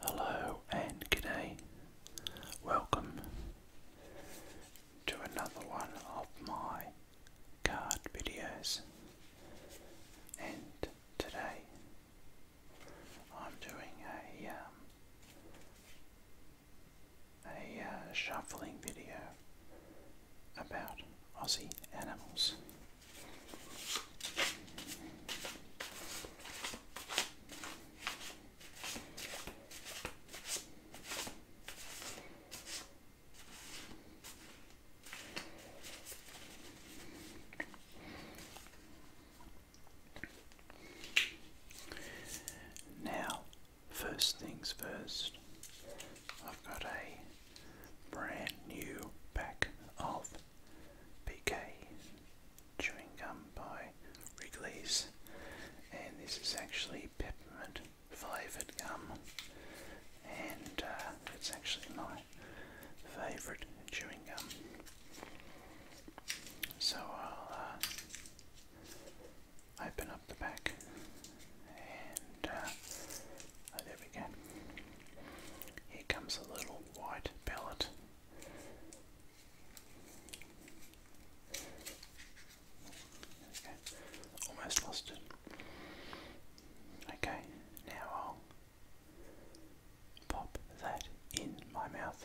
Hello and good day. Welcome to another one of my card videos, and today I'm doing a um, a uh, shuffling video about Aussie animals. Now, first things first, I've got a brand new pack of PK chewing gum by Wrigley's, and this is actually peppermint flavoured gum, and uh, it's actually my favourite chewing gum. So I'll uh, open up the back, and uh, oh, there we go. Here comes a little white pellet. Almost lost it. Okay, now I'll pop that in my mouth.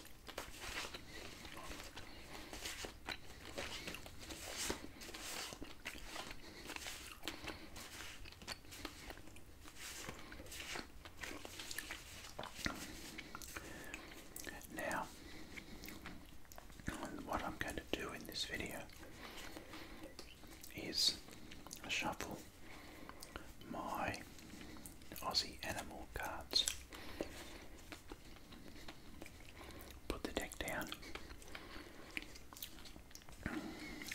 Now, what I'm going to do in this video is shuffle my Aussie animal cards Put the deck down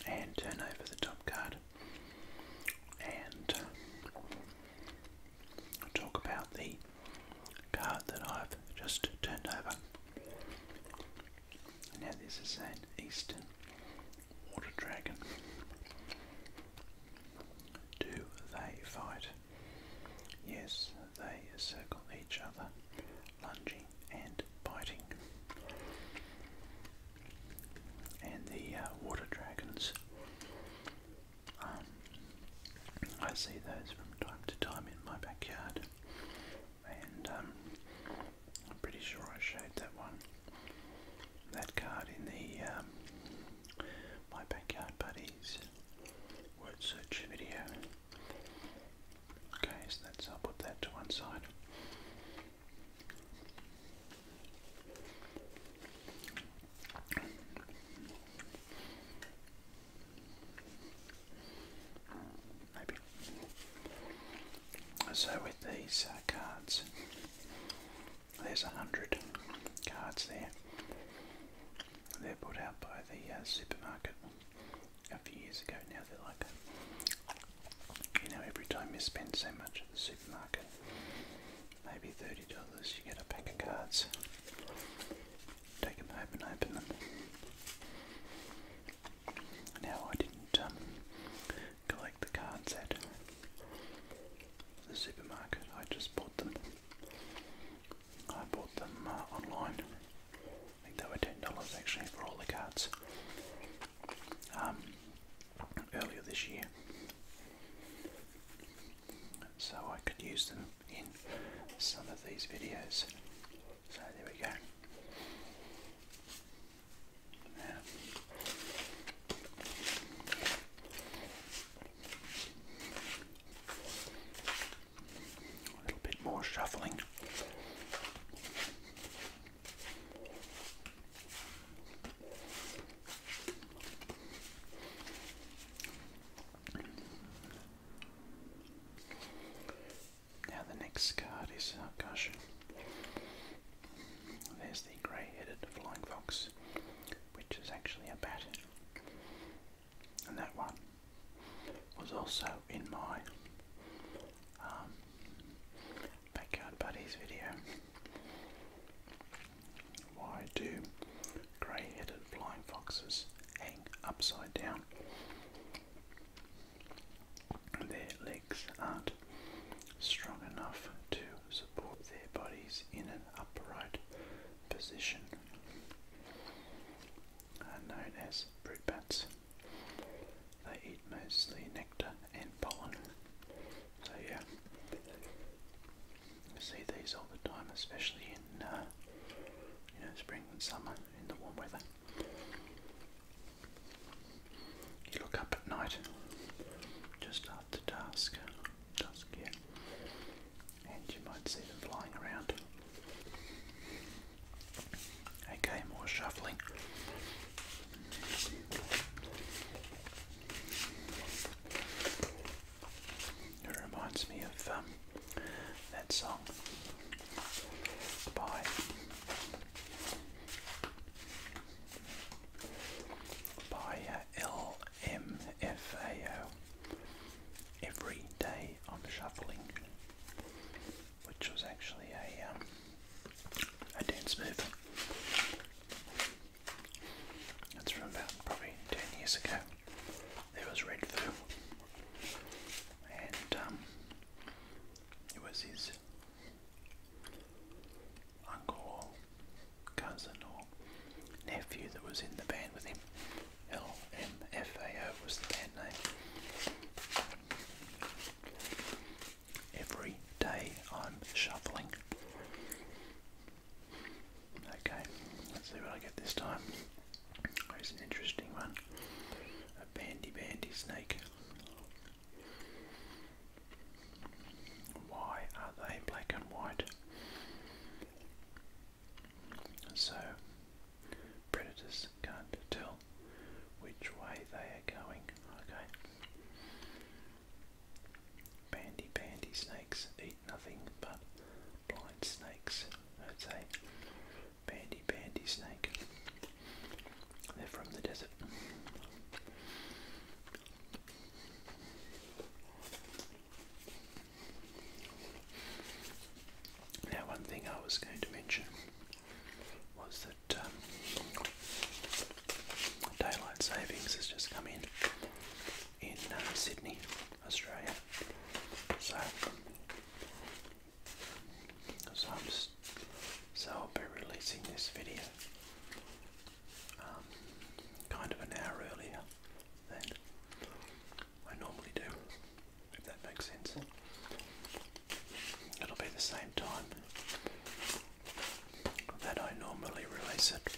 and turn over the top card and talk about the card that I've just turned over. Now, this is an Eastern Water Dragon. Do they fight? Yes, they circle each other, lunging and biting. And the uh, water dragons. Um, I see those from time to time in my backyard, and um, I'm pretty sure I showed that one, that card in the um, my backyard buddies word search video. Okay, so that's i put that to one side. Maybe. So with these uh, cards, there's a hundred cards there. They're put out by the uh, supermarket a few years ago. Now they're like, you know, every time you spend so much at the supermarket, maybe thirty dollars, you get a pack of cards. Take them home and open them. Now I didn't um, collect the cards at the supermarket. I just bought them I bought them uh, online. I think they were ten dollars actually for all the cards. Um, earlier this year, so I could use them in some of these videos. So there we go. Now, a little bit more shuffling. Now, the next card is oh gosh, there's the grey headed flying fox, which is actually a bat and that one was also in my um, Backyard Buddies video. Why do grey headed flying foxes hang upside down? Their legs aren't strong enough to support their bodies in an upright position, are known as fruit bats. They eat mostly nectar and pollen. So yeah, see these all the time, especially in uh, you know spring and summer in the warm weather. You look up at night, just after dusk, dusk yeah, and you might see them flying around. Okay, more shuffling. It reminds me of um, that song by by uh, LMFAO. Every day I'm shuffling, which was actually a um, a dance move. That's from about probably ten years ago. There was Red Foo, and um, it was his uncle cousin or nephew that was in the band with him. LMFAO was the band name. Every day I'm shuffling. Okay, let's see what I get this time. Here's an interesting one. A bandy bandy snake. Why are they black and white? So, predators can't tell which way they are going. Okay. Bandy bandy snakes eat nothing but blind snakes. I'd say. bandy bandy snake. They're from the desert. Now, one thing I was going to mention was that um, daylight savings has just come in in um, Sydney, Australia. So, so, I'm just, so I'll be releasing this video um, kind of an hour earlier than I normally do, if that makes sense. It'll be the same time that I normally release it,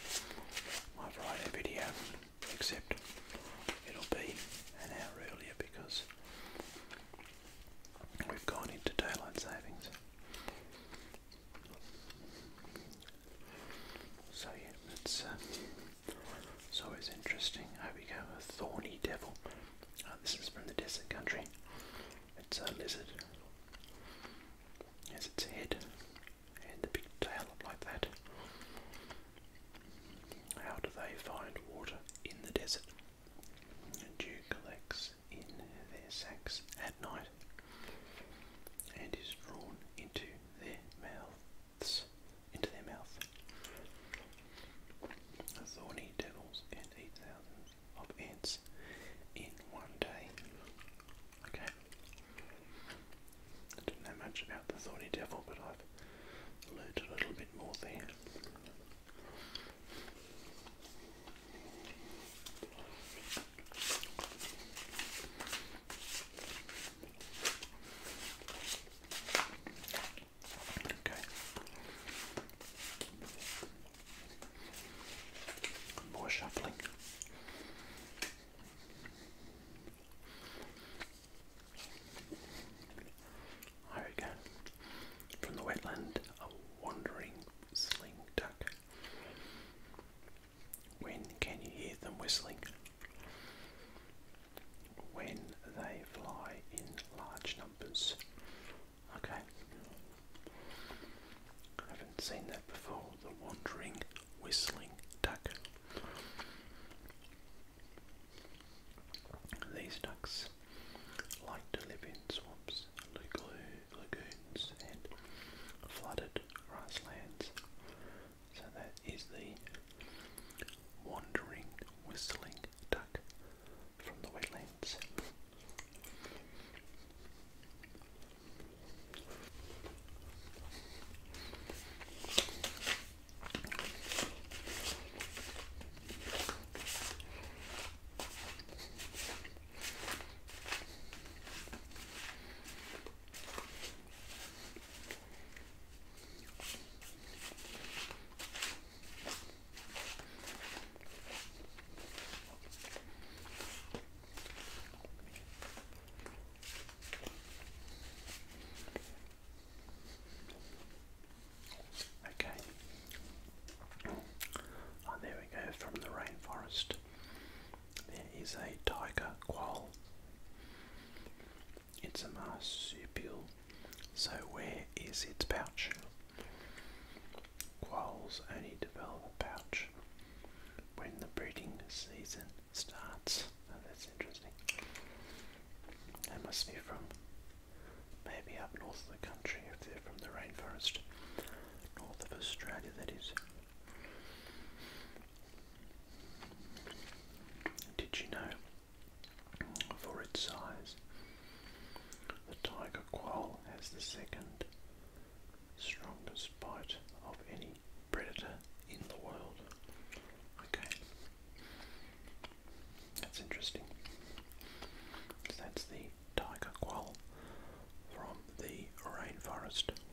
my Friday video, except it'll be an hour earlier because we've gone into daylight savings. So yeah, it's, uh, it's always interesting. I we a thorny devil. Uh, this is from the desert country. It's a lizard. Has its head and the big tail like that. How do they find water in the desert? And Dew collects in their sacks at night and is drawn into their mouths, into their mouth. Thorny devils and eat thousands of ants in one day. Okay. I don't know much about the thorny devil, but I've learned a little bit more there. More shuffling. There we go. From the wetland, a wandering sling duck. When can you hear them whistling? When they fly in large numbers. Okay. I haven't seen that before. The wandering whistling duck. These ducks like to live in swamps, low lagoons and flooded grasslands. So that is the wandering, whistling duck from the wetlands. Okay. Oh, there we go, from the rainforest. There is a tiger quoll. It's a marsupial, so where is its pouch? Quolls only develop a pouch when the breeding season starts. Oh, that's interesting. That must be from maybe up north of the country if they're from the rainforest. North of Australia, that is. Did you know, for its size, the tiger quoll has the second strongest bite of any predator in the world? Okay, that's interesting. that's the tiger quoll from the rainforest.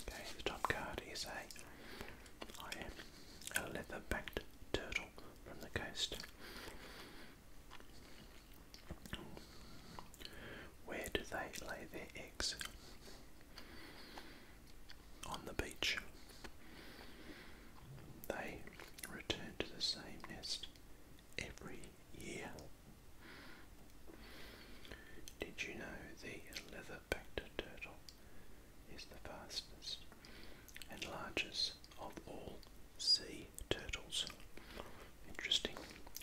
Okay, the top card is a, I am a leather-backed turtle from the coast. Where do they lay their eggs? on the beach. They return to the same nest every year. Did you know the leatherback turtle is the fastest and largest of all sea turtles? Interesting.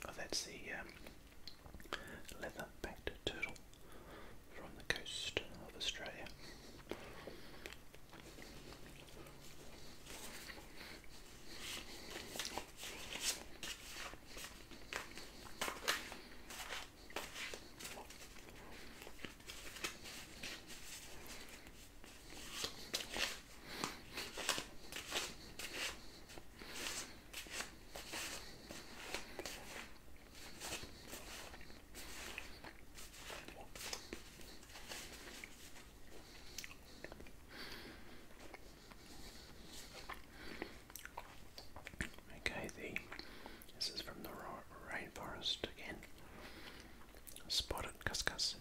Oh, that's the um, leather-backed turtle from the coast of Australia. Okay, the this is from the rainforest again. Spotted cuscus.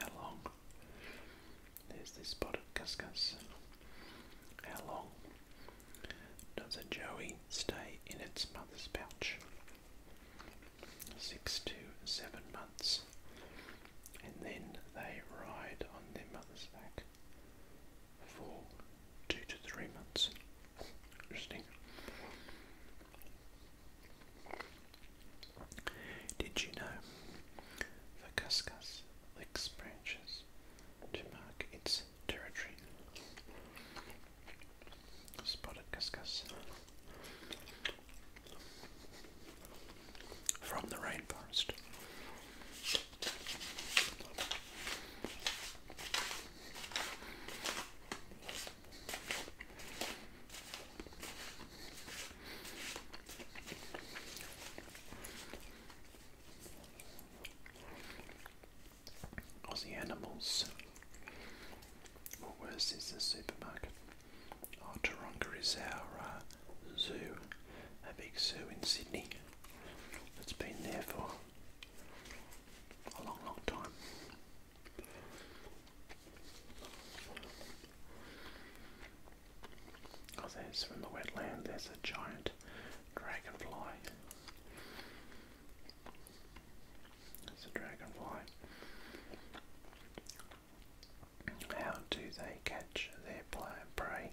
How long there's this spotted cuscus. How long does a joey stay in its mother's pouch? Six to seven months. And then they ride on their mother's back for two to three months. Interesting. Did you know the Cuscus licks branches to mark its territory? Spotted Cuscus from the rainforest. Or the animals. What worse is the supermarket? Oh, Taronga is our uh, zoo, a big zoo in Sydney that's been there for a long, long time. Oh, there's from the wetland, there's a giant dragonfly. That's a dragonfly. How do they catch their prey?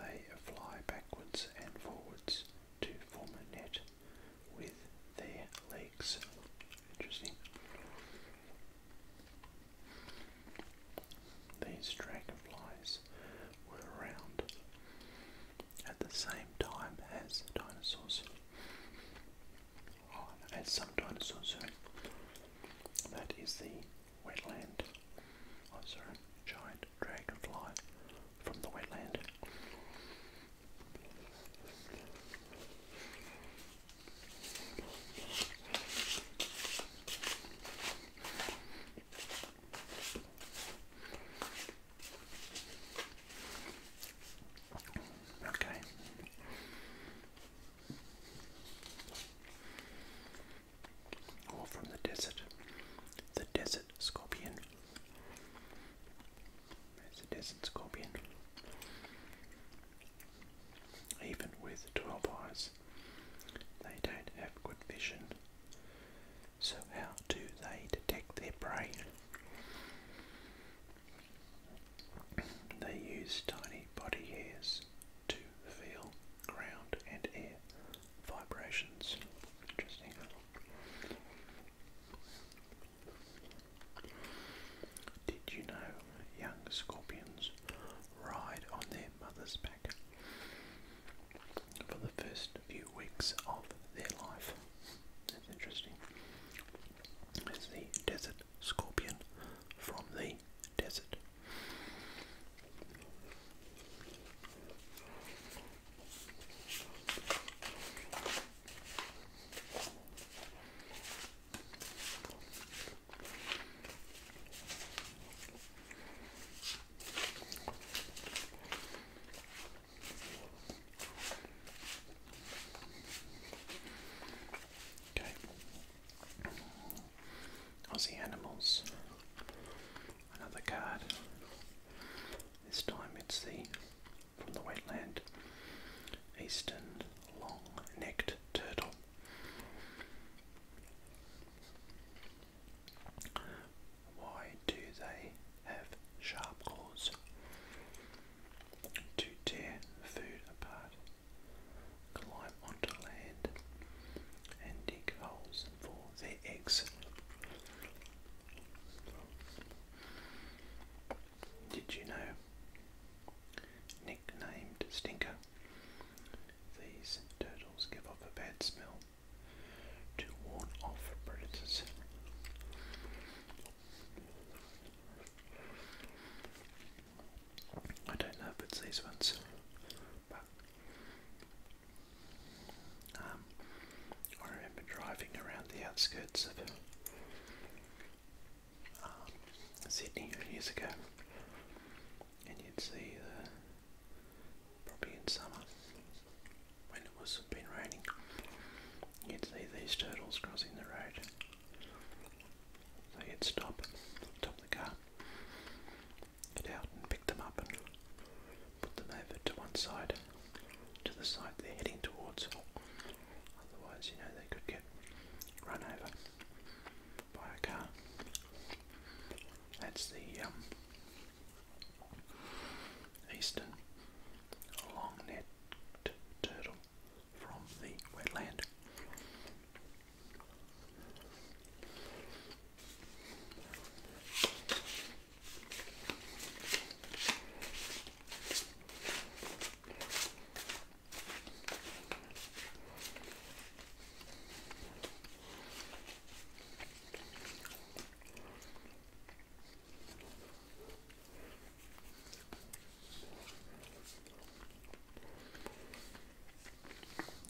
They fly backwards and forwards to form a net with their legs. Interesting. These dragonflies were around at the same time as dinosaurs. Oh, as some dinosaurs, uh, That is the wetland. Oh, giant dragonfly from the wetland. Okay. Or from the desert, the desert scorpion. There's a desert scorpion. Even with 12 eyes, they don't have good vision. So, how do they detect their prey? They use tiny body hairs to feel ground and air vibrations. Interesting. Did you know young scorpions ride on their mother's back for the first few weeks of their life? That's interesting. It's the desert scorpion from the desert. Okay. Aussie Animals. Another card. This time it's the from the wetland. Eastern long-necked turtle. Why do they have sharp claws? To tear food apart, climb onto land, and dig holes for their eggs. Did you know? Nicknamed Stinker, these turtles give off a bad smell to warn off predators. I don't know if it's these ones, but um, I remember driving around the outskirts of Sydney years ago, and you'd see the uh, probably in summer when it was been raining, you'd see these turtles crossing the road. So you'd stop, stop the car, get out and pick them up and put them over to one side, to the side they're heading towards, Otherwise, you know, they could get run over by a car. That's the um, eastern long-necked turtle from the wetland.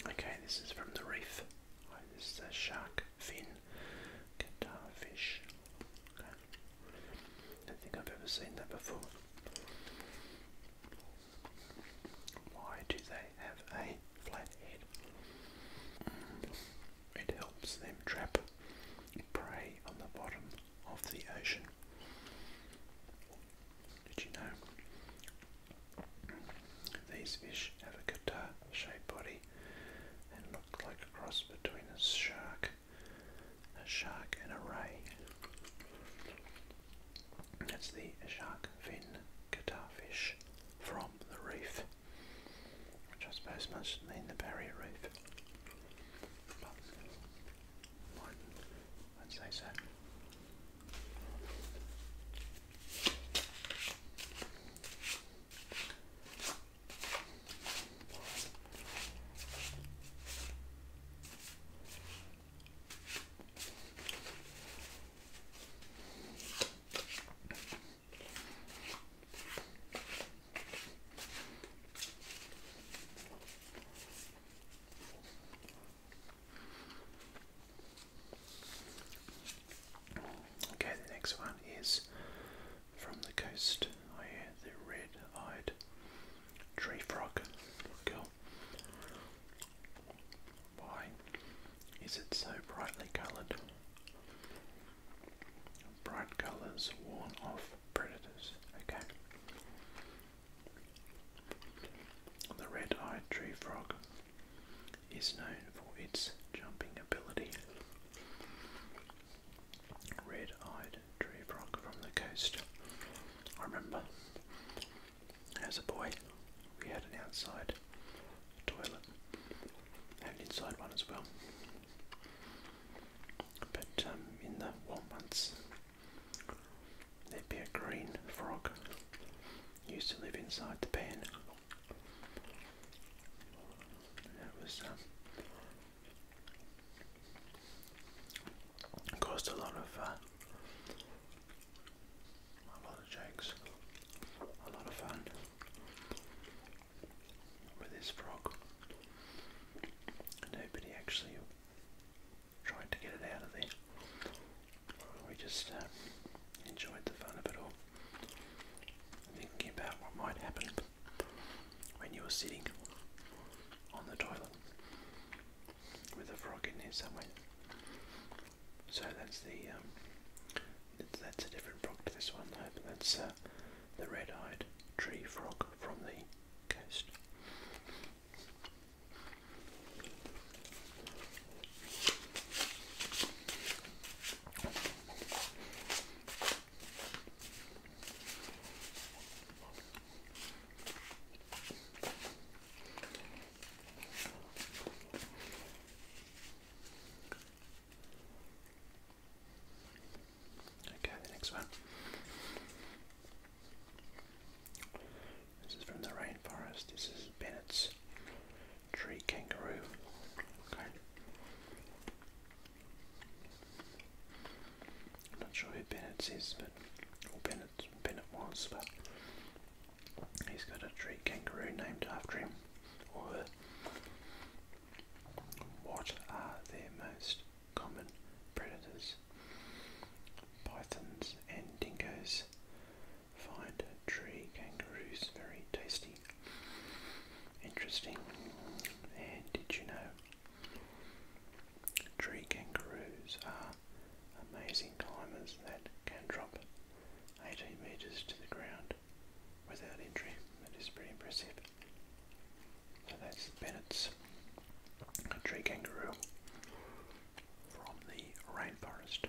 Okay, this is from the reef. this is a shark fin, guitar fish. I don't think I've ever seen that before. Why do they have a flat head? Mm. It helps them trap prey on the bottom of the ocean. Did you know? These fish have a guitar shaped body and look like a cross between a shark a shark and a ray. That's the shark fin catarfish from the reef, which I suppose must mean the barrier reef. But i say so. Okay, the next one is from the coast. I oh, the red eyed Tree frog. Cool. Why is it so brightly coloured? Bright colours warn off predators. Okay. The red eyed tree frog is known for its jumping ability. Red eyed tree frog from the coast. I remember as a boy we had an outside toilet and inside one as well. But um, in the warm months, there'd be a green frog used to live inside the pen. That was um, Caused a lot of uh, a lot of jokes, a lot of fun with this frog. Nobody actually tried to get it out of there. We just uh, enjoyed the fun of it all. Thinking about what might happen when you were sitting on the toilet with a frog in there somewhere. So that's the um, that's a different frog to this one though. But that's uh, the red-eyed tree frog from the coast. Okay, next one. This is from the rainforest. This is Bennett's tree kangaroo. Okay. I'm not sure who Bennett is, but or Bennett Bennett was, but he's got a tree kangaroo named after him What are their most common predators? Pythons and dingoes find tree kangaroos very tasty. Interesting. And did you know Tree kangaroos are amazing climbers that can drop 18 metres to the ground without injury. That is pretty impressive. So that's Bennett's tree kangaroo from the rainforest.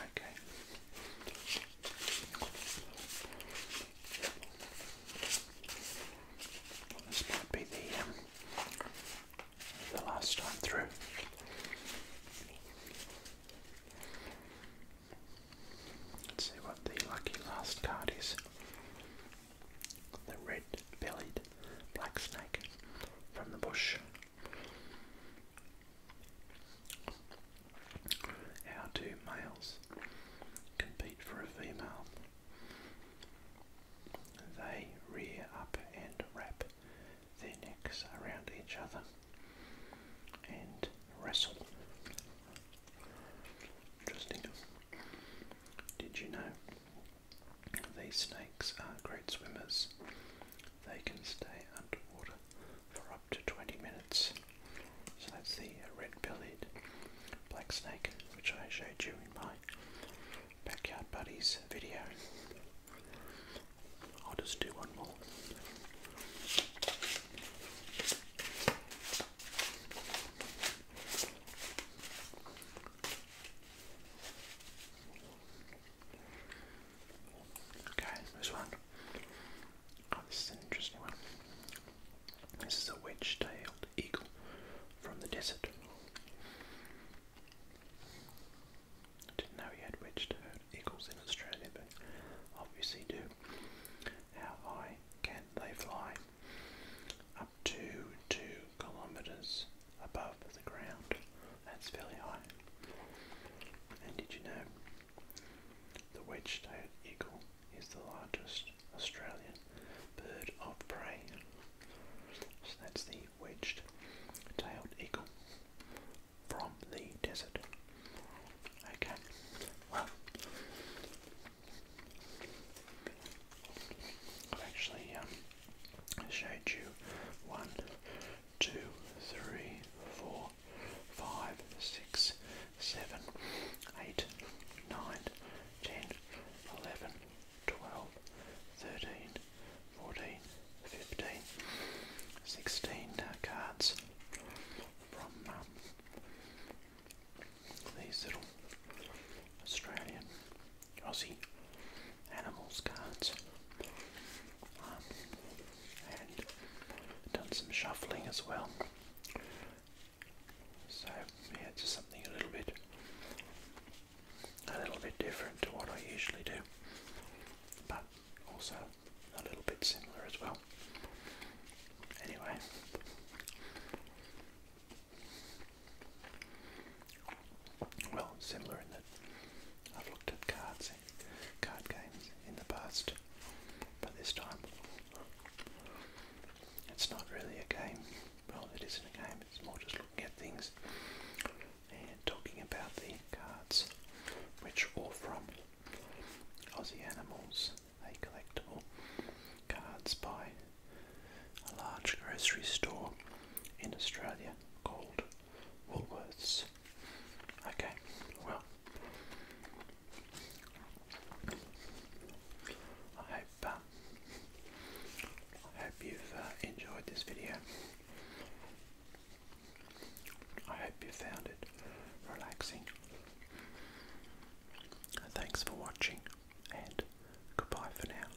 Okay this might be the, um, the last time through. Let's see what the lucky last card is. The red-bellied black snake from the bush. How do males compete for a female? They rear up and wrap their necks around each other and wrestle. Interesting. Did you know these snakes are great swimmers? They can stay underwater for up to 20 minutes so that's the uh, red-bellied black snake, which I showed you in my backyard buddies video. I'll just do one more. Okay, this one Oh, this is an interesting one. This is a wedge tailed eagle from the desert. didn't know we had wedge tailed eagles in Australia, but obviously do. How high can they fly? Up to two kilometres above the ground. That's fairly high. And did you know the wedge tailed eagle is the largest Australian bird of prey. So that's the wedged tailed eagle from the desert. Okay, well, I've actually um, showed you one, two, three, four, 5, 6, 7, 8, 9, 10, 11, 12, 13, 14, 15, 16 cards from um, these little Australian Aussie animals cards. Um, and done some shuffling as well. So yeah, just something a little bit, a little bit different to what I usually do, but also a little bit similar as well. Anyway. Well, similar in that I've looked at cards and card games in the past but this time, it's not really a game. Well, it isn't a game, it's more just looking at things and talking about the cards, which are from Aussie Animals, a collectible cards by a large grocery store in Australia called Woolworths. Okay, well, I hope um, I hope you've uh, enjoyed this video. I hope you found it relaxing. Thanks for watching and goodbye for now.